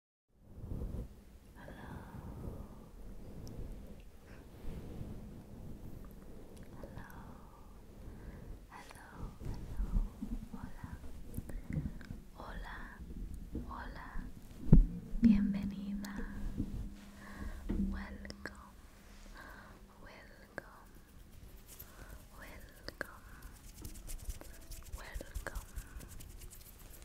Hola, hola, hola, bienvenida, welcome, welcome, welcome, welcome.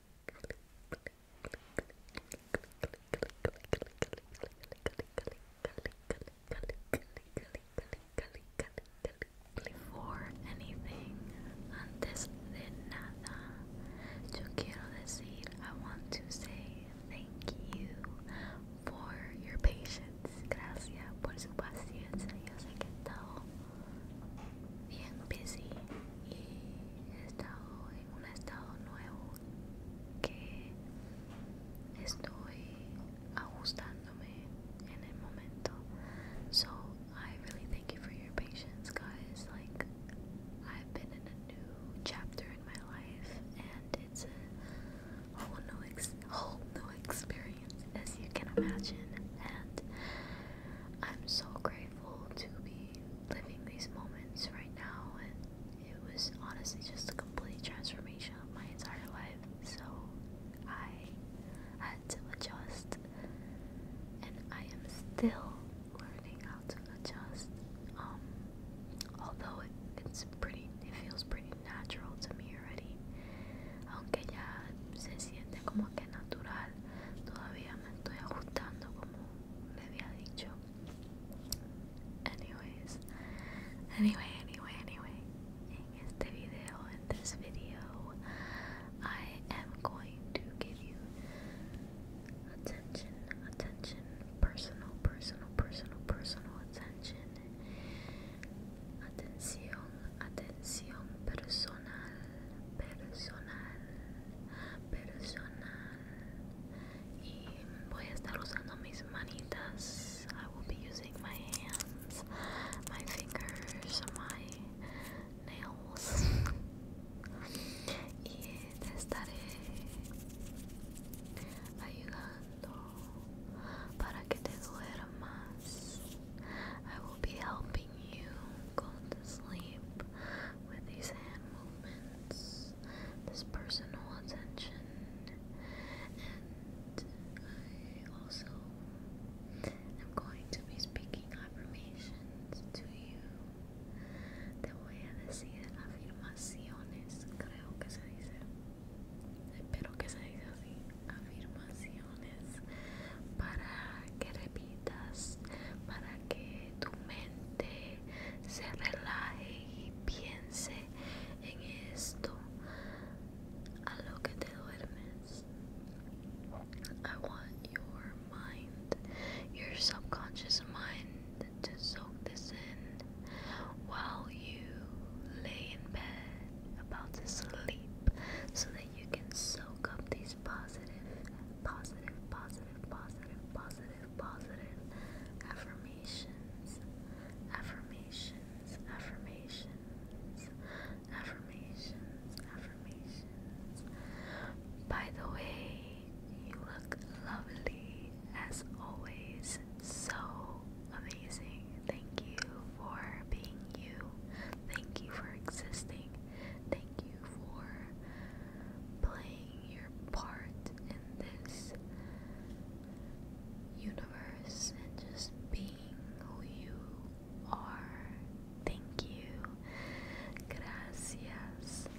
for anything, antes de nada, yo quiero decir, I want to say thank you for your patience. Gracias por su paciencia. Yo sé que bien busy y he estado en un estado nuevo que estoy ajustándome en el momento. So I really thank you for your patience, guys. Like I've been in a new chapter in my life, and it's a whole new, whole new experience, as you can imagine. I'm so grateful to be living these moments right now, and it was honestly just a complete transformation of my entire life. So I had to adjust, and I am still learning how to adjust. Um, although it, it's pretty, it feels pretty natural to me already. Aunque ya se siente como que natural, todavía me anyway, anyway, anyway, in this video, I am going to give you attention, attention, personal, personal, personal, personal attention, attention, attention personal personal personal y voy a estar usando mis manitas I will be using my hands my fingers my nails y te estaré ayudando para que te duermas I will be helping helping you go to sleep with these hand movements, this personal attention, and I also am going to be speaking affirmations to you. Te voy a decir afirmaciones, creo que se dice. Espero que se diga así. Afirmaciones oraciones I want your mind, your subconscious mind, to soak this in while you lay in bed about to sleep so that you can soak up these positive, positive, positive, positive, positive, positive affirmations, affirmations, affirmations, affirmations, affirmations. By the way, you look lovely as always. So amazing. Thank you for being you. Thank you for existing. Thank you for playing your part in this universe and just being who you are. Thank you. Gracias.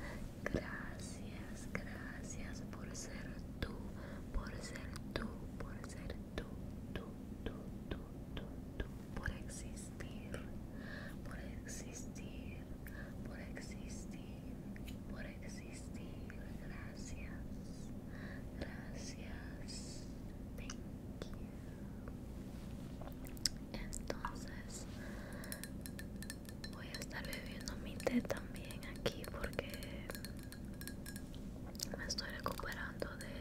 Gracias. Gracias por ser tú. Por ser tú. Por ser tú. Tú, tú, tú, tú, tú, por existir, por existir, por existir, por existir. Gracias, gracias. Thank you. Entonces, voy a estar bebiendo mi té también aquí porque me estoy recuperando de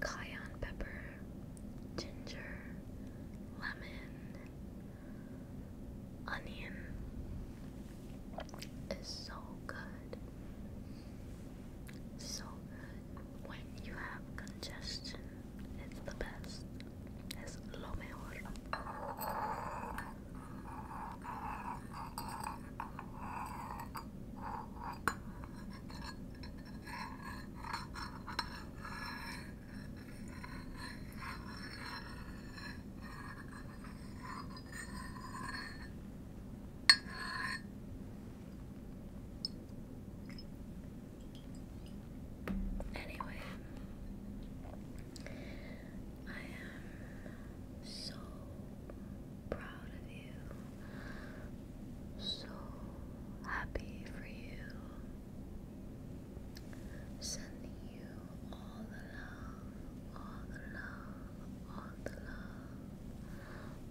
Cayenne pepper, ginger, lemon, onion is so good. So good. When you have congestion, it's the best. Es lo mejor. Anyway, I am so proud of you, so happy for you. Sending you all the love, all the love, all the love,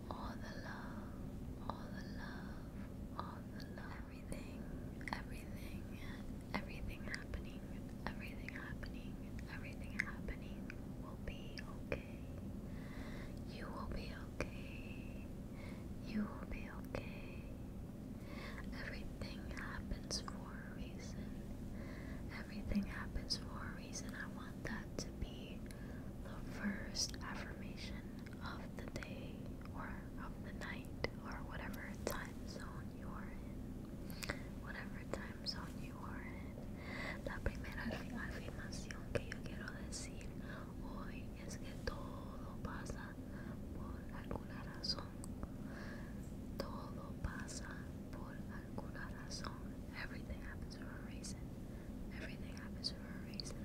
all the love, all the love, all the love, everything, everything, everything happening, everything happening, everything happening will be okay. You will be okay. You will be okay. Everything happens for a reason. Everything happens for a reason. I want that to be the first affirmation of the day or of the night or whatever time zone you are in. Whatever time zone you are in. La primera afirmación que yo quiero decir hoy es que todo pasa por alguna razón. Todo pasa por alguna razón. Everything happens for a reason. Everything happens for a reason.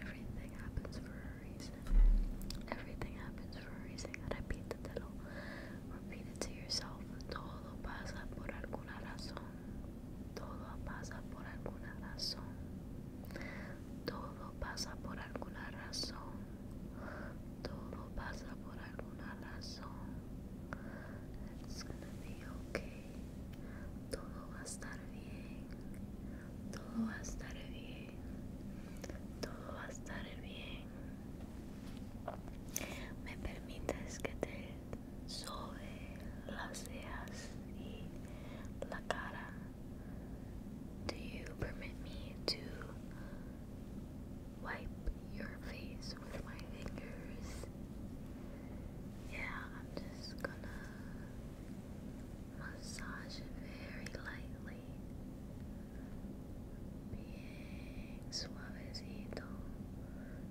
Everything happens for a reason. Everything happens for a reason. Repítetelo. Repeat it to yourself. Todo pasa por alguna razón. Todo pasa por alguna razón. Todo pasa por alguna razón. Todo pasa por alguna razón. It's gonna be okay. Todo va a estar bien. Todo va a estar bien. Todo va a estar bien. Me permites que te sobe las cejas y la cara. Do you permit me to wipe your face with my fingers. Yeah, I'm just gonna massage it very lightly. Bien suavecito.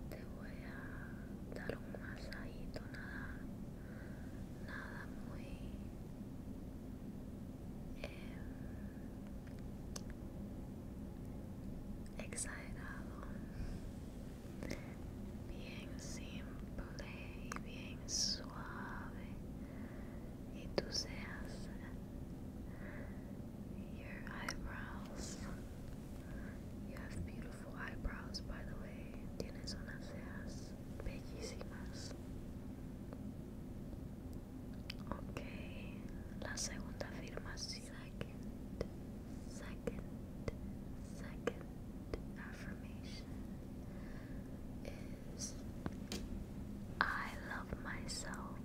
Te voy a dar un masajito, nada, nada muy exhailado, bien simple y bien suave, y tú seas your eyebrows. You have beautiful eyebrows, by the way. Tienes unas cejas bellísimas. Ok, la second affirmation is I love myself.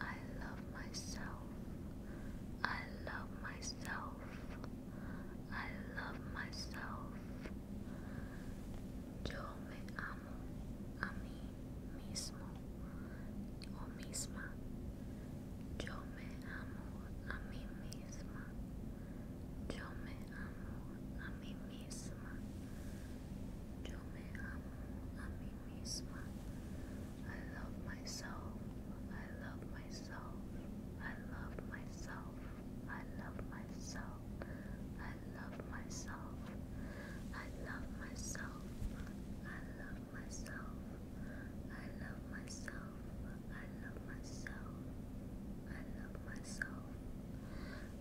I love myself. I love myself. I love myself. Yo me amo a mí mismo o misma. Yo me amo a mí misma. Yo me amo a mí misma. Yo me amo a mí misma. I love myself. I love myself. I love myself. I love myself. I love myself. I love myself. I love myself. I love myself. I love myself. I love myself.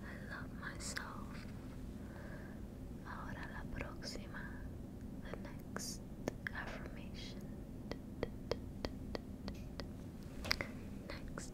I love myself. Ahora la próxima, the next affirmation. Next. Next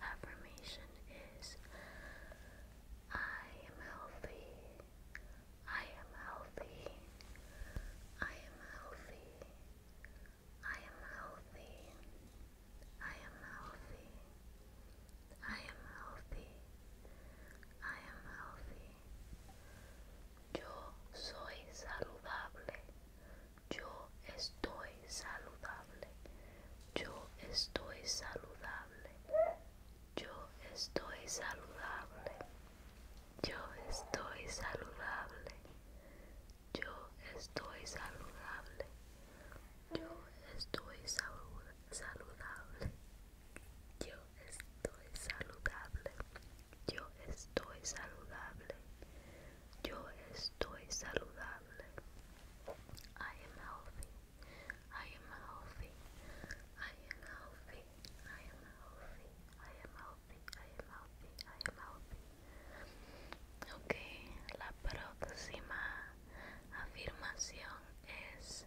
Affirmation is I am healthy. I am healthy. I am healthy. I am healthy. I am healthy. I am healthy. I am healthy. Yo soy saludable. Yo estoy saludable. Yo estoy saludable. Yo estoy saludable. Yo estoy saludable. Yo estoy saludable. Yo estoy saludable. Yo estoy saludable. Yo estoy saludable. Yo estoy saludable. I am healthy. I am healthy. I am healthy. I am healthy. I am healthy. I am healthy. I am healthy. Ok, la próxima afirmación es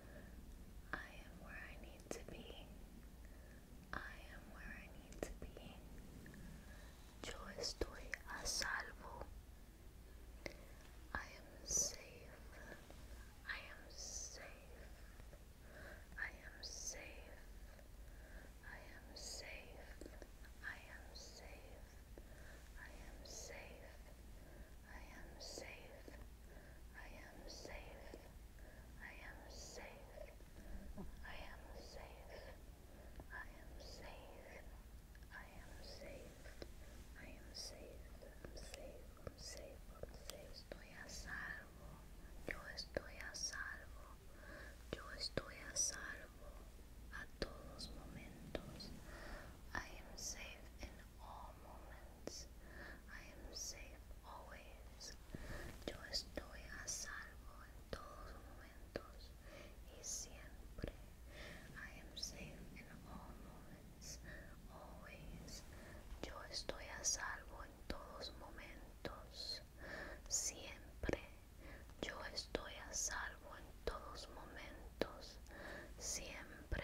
I am where I need to be. I am where I need to be. Yo estoy a salvo. I am safe. I am safe. I am safe. I am safe. I am safe. I am safe. I am safe. I am safe. I am safe. I am safe. I am safe. I am safe. I am safe. I'm safe. I'm safe. I'm safe. Estoy a salvo. Yo estoy a salvo. Yo estoy a salvo a todos momentos. I am safe in all moments. I am safe always. Yo estoy a salvo en todos momentos y siempre. I am safe in all moments. Always. Yo estoy a salvo en todos momentos. Siempre. Yo estoy a salvo en todos momentos. Siempre.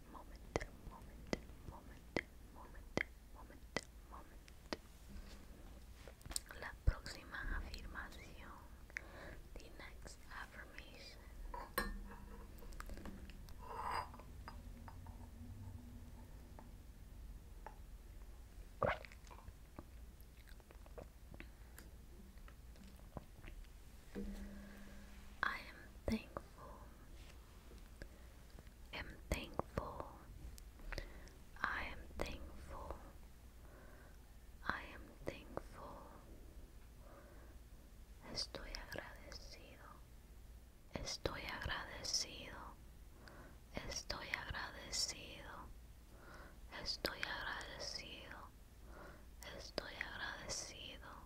moment, moment, moment, moment, moment, moment. La próxima afirmación. The next affirmation. I am thankful am thankful. I am thankful. I am thankful. Estoy agradecido. Estoy agradecido. Estoy agradecido. Estoy agradecido. Estoy agradecido.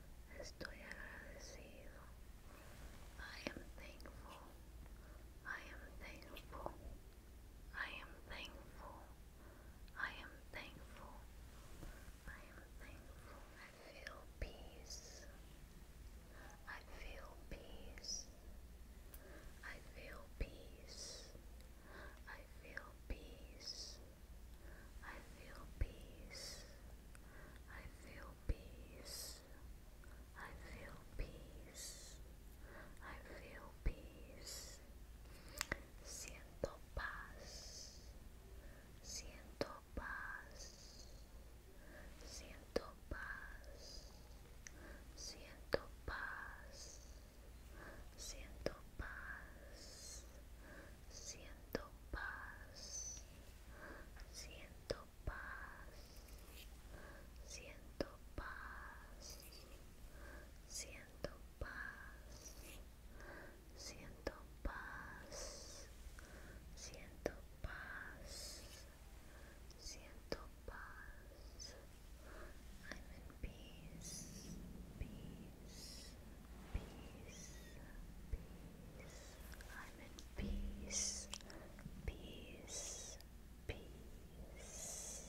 I am thankful. I am thankful. I am thankful. I am thankful. I am thankful. I feel peace. I feel peace. I feel peace. I feel peace. I feel peace. I feel peace. I feel peace. I feel peace. Siento paz. Siento paz. Siento paz. Siento paz. Siento paz. Siento paz. Siento paz, siento paz, siento paz, siento paz, siento paz, siento paz, I'm in peace, peace, peace, peace. I'm in peace, peace, peace,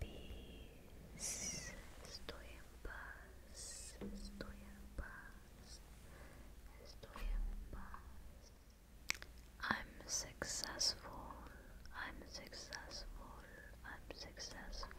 peace. Estoy en paz, estoy en paz, estoy en paz. I'm successful, I'm successful, I'm successful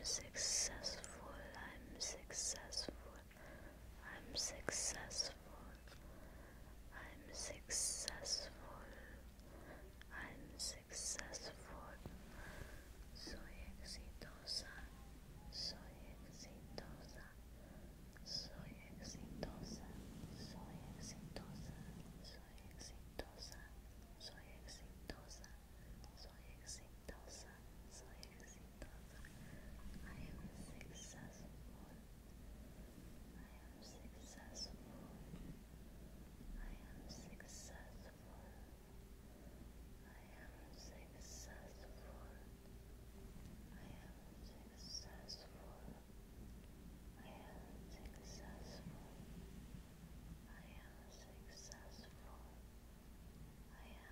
I'm successful, I'm successful. I'm successful. I'm successful. I'm successful. Soy exitosa. Soy exitosa. Soy exitosa. Soy exitosa. Soy exitosa. Soy exitosa. Soy exitosa times I am successful. I am successful. I am successful. I am successful. I am successful. I am successful. I am successful. I am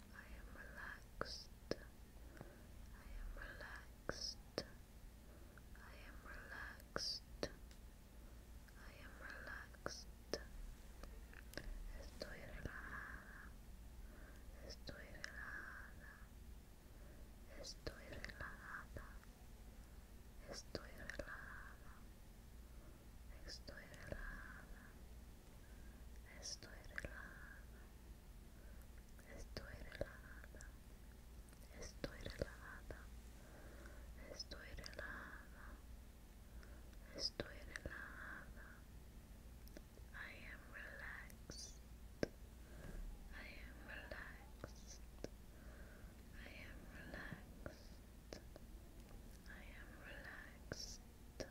I am relaxed. I am relaxed. I am relaxed. I am relaxed. Estoy relajada. Estoy relajada. Estoy relajada. Estoy relajada. Estoy relajada. Estoy relajada. Estoy relajada. Estoy relajada. Estoy relajada. Estoy relajada. Estoy relajada. I am relaxed. I am relaxed. I am relaxed. I am relaxed. I am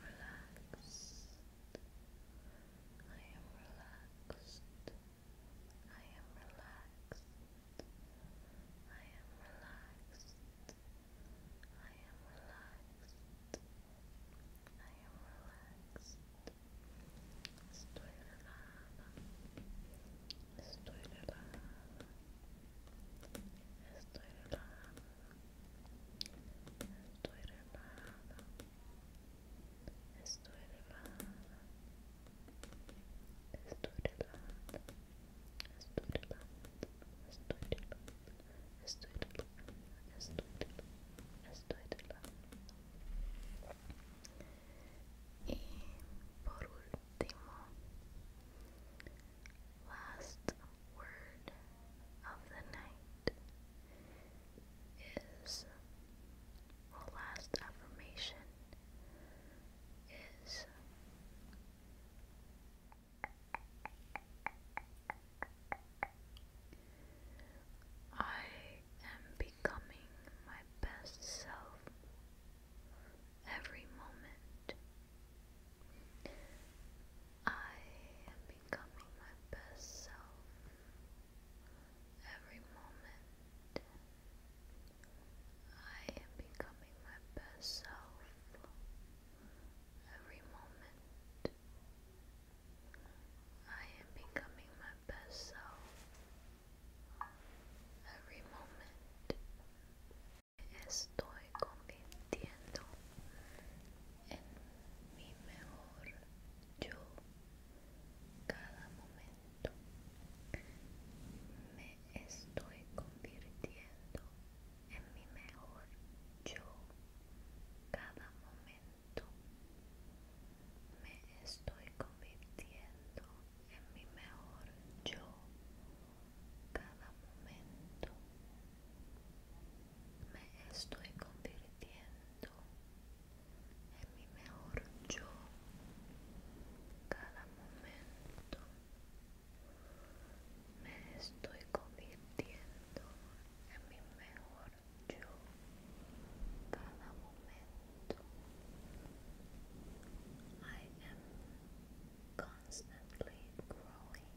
relaxed. I am relaxed. I am relaxed. I am relaxed. I am relaxed. I am relaxed. Estoy relajada. Estoy relajada. Estoy relajada. Estoy relajada. Estoy relajada. Estoy relajada. Estoy relajada. Estoy relajada. Estoy relajada. Estoy relajada. Estoy relajada. Y por último, last word of the night is, or last affirmation is, I am becoming my best self every moment. I am becoming my best self every moment. I am becoming my best self every moment. I am becoming my best self every moment. estoy convirtiendo en mi mejor yo cada momento me estoy convirtiendo en mi mejor yo cada momento me estoy convirtiendo en mi mejor yo cada momento me estoy convirtiendo en mi mejor yo cada momento me estoy convirtiendo en mi mejor yo cada momento I am constantly growing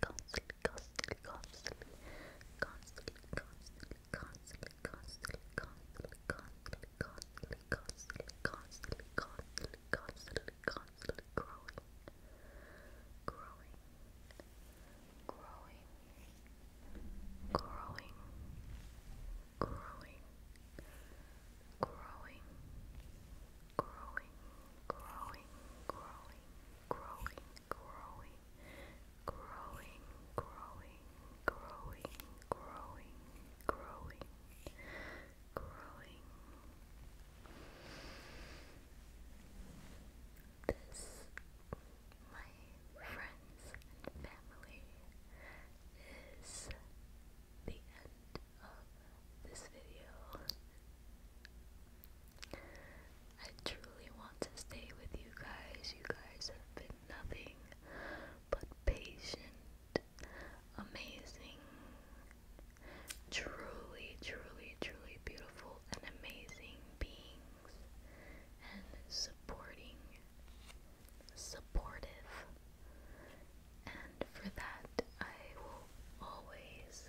constantly, constantly, constantly, constantly, constantly, constantly, constantly, constantly, constantly, constantly, constantly, constantly, constantly, constantly, constantly growing, growing, growing, growing, growing, growing, growing, growing, growing, growing, growing, growing, growing, growing, growing, growing, growing, growing. This, my friends and family, is the end of this video. I truly want to stay with you guys. You guys have been nothing but patient, amazing, truly, truly, truly beautiful and amazing beings and supporting, supportive. And for that, I will always,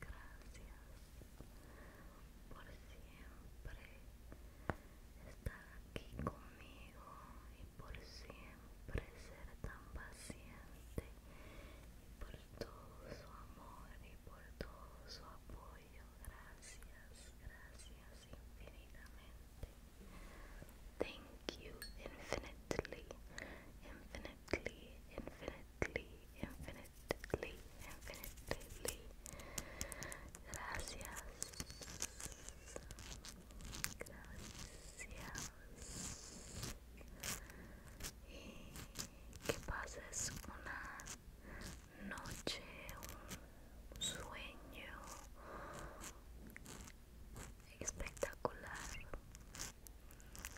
gracias por siempre estar aquí conmigo y por siempre ser tan paciente y por todo su amor y por todo su apoyo. Gracias, gracias infinitamente. Thank you infinitely, infinitely, infinitely, infinitely infinitely, Gracias. Gracias. Y que pases una noche, un sueño espectacular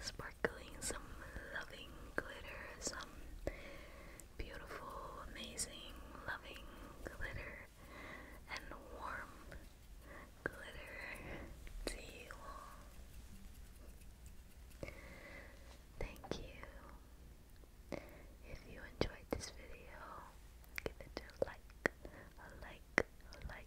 sparkling, some loving glitter, some beautiful, amazing, loving glitter, and warm glitter to Thank you. If you enjoyed this video, give it a like, a like, a like